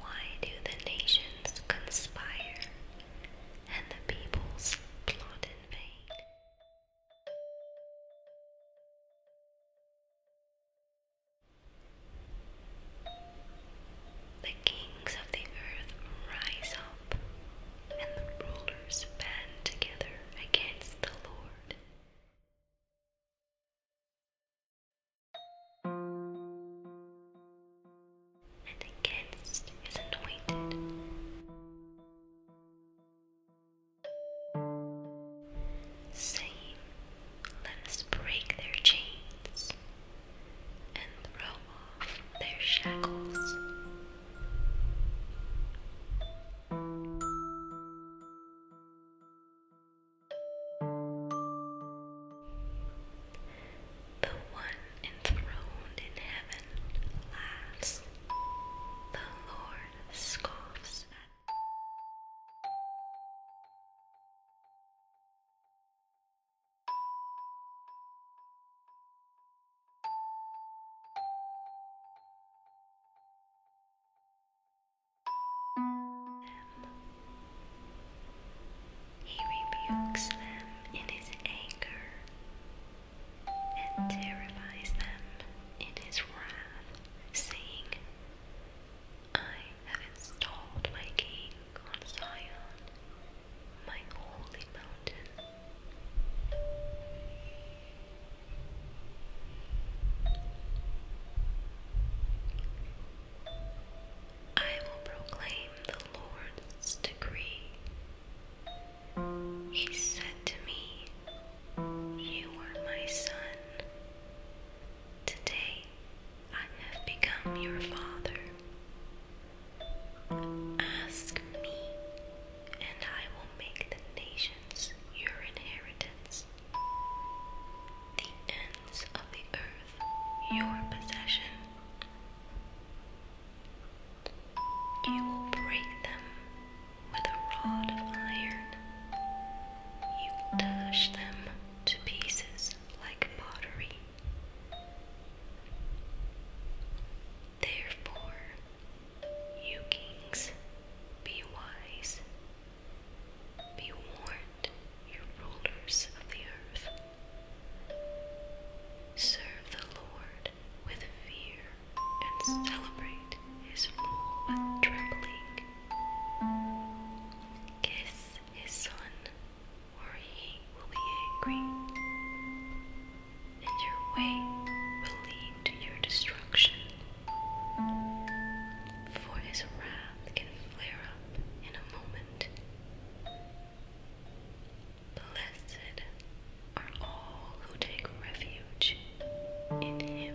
Why do the nations conspire and the peoples plot in vain? The kings of the earth rise up, and the rulers band together against the Lord and against is anointed. Saying, Let us break their chains and throw their shackles. The one enthroned in heaven laughs, the Lord scoffs he rebukes them in his anger and terrifies them in his wrath, saying, I have installed my king on Zion, my holy mountain. I will proclaim the Lord's decree. He said to me, You are my son. Today I have become your father. Ask me, and I will make the nations your inheritance the ends of the earth, your possession. You will break them with a rod of iron. You will dash them to pieces like pottery. Therefore, you kings, be wise. Be warned, you rulers of the earth. Serve the Lord with fear and celebrate his rule with trembling. Kiss his son, or he will be angry, and your way will lead to your destruction for his wrath can flare up in a moment. Blessed are all who take refuge in him.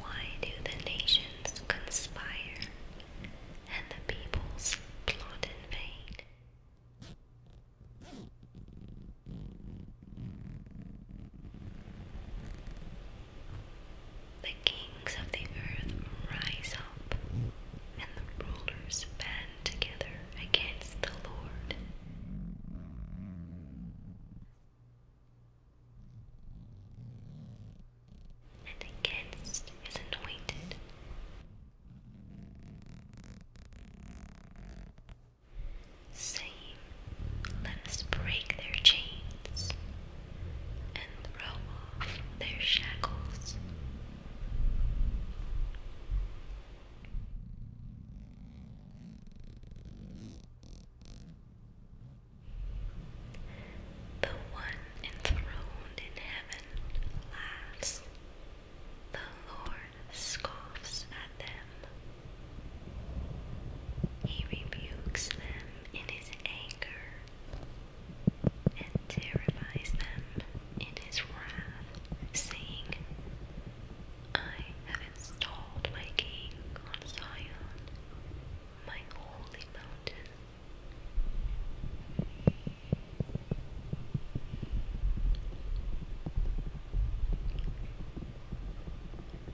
Why do the nations conspire and the peoples plot in vain? The kings of the earth rise up, and the rulers band together against the Lord. And against his anointed. Saying, Let us break their chains and throw their shackles. The one enthroned in heaven laughs, the Lord scoffs at them. He rebukes them in his anger and terrifies them in his wrath, saying, I have installed my king on Zion, my holy mountain.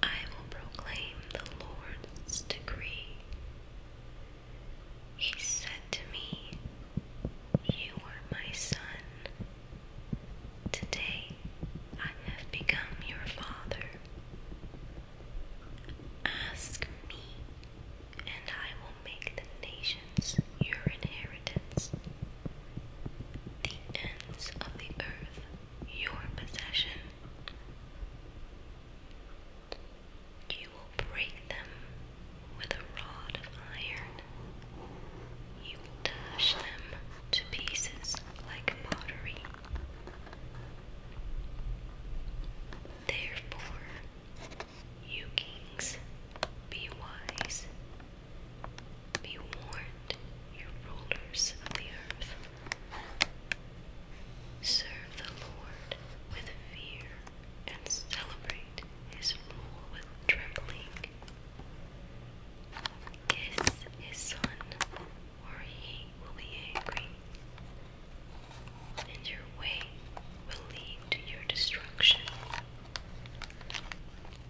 I will proclaim the Lord's decree. He said to me, You are my son. Today I have become your father. Ask me, and I will make the nations your inheritance, the ends of the earth your possession. You will break them with a rod of iron. You will dash them to pieces like pottery. Therefore, you kings, be wise. Be warned, you rulers of the earth. Serve the Lord with fear and celebrate his rule with trembling. Kiss his son, or he will be angry, and your way will lead to your destruction.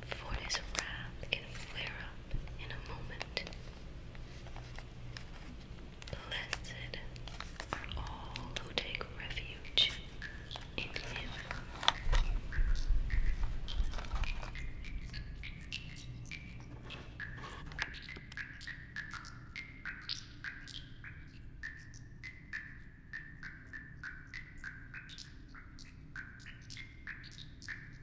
For his wrath can flare up in a moment. Blessed are all who take refuge in Him.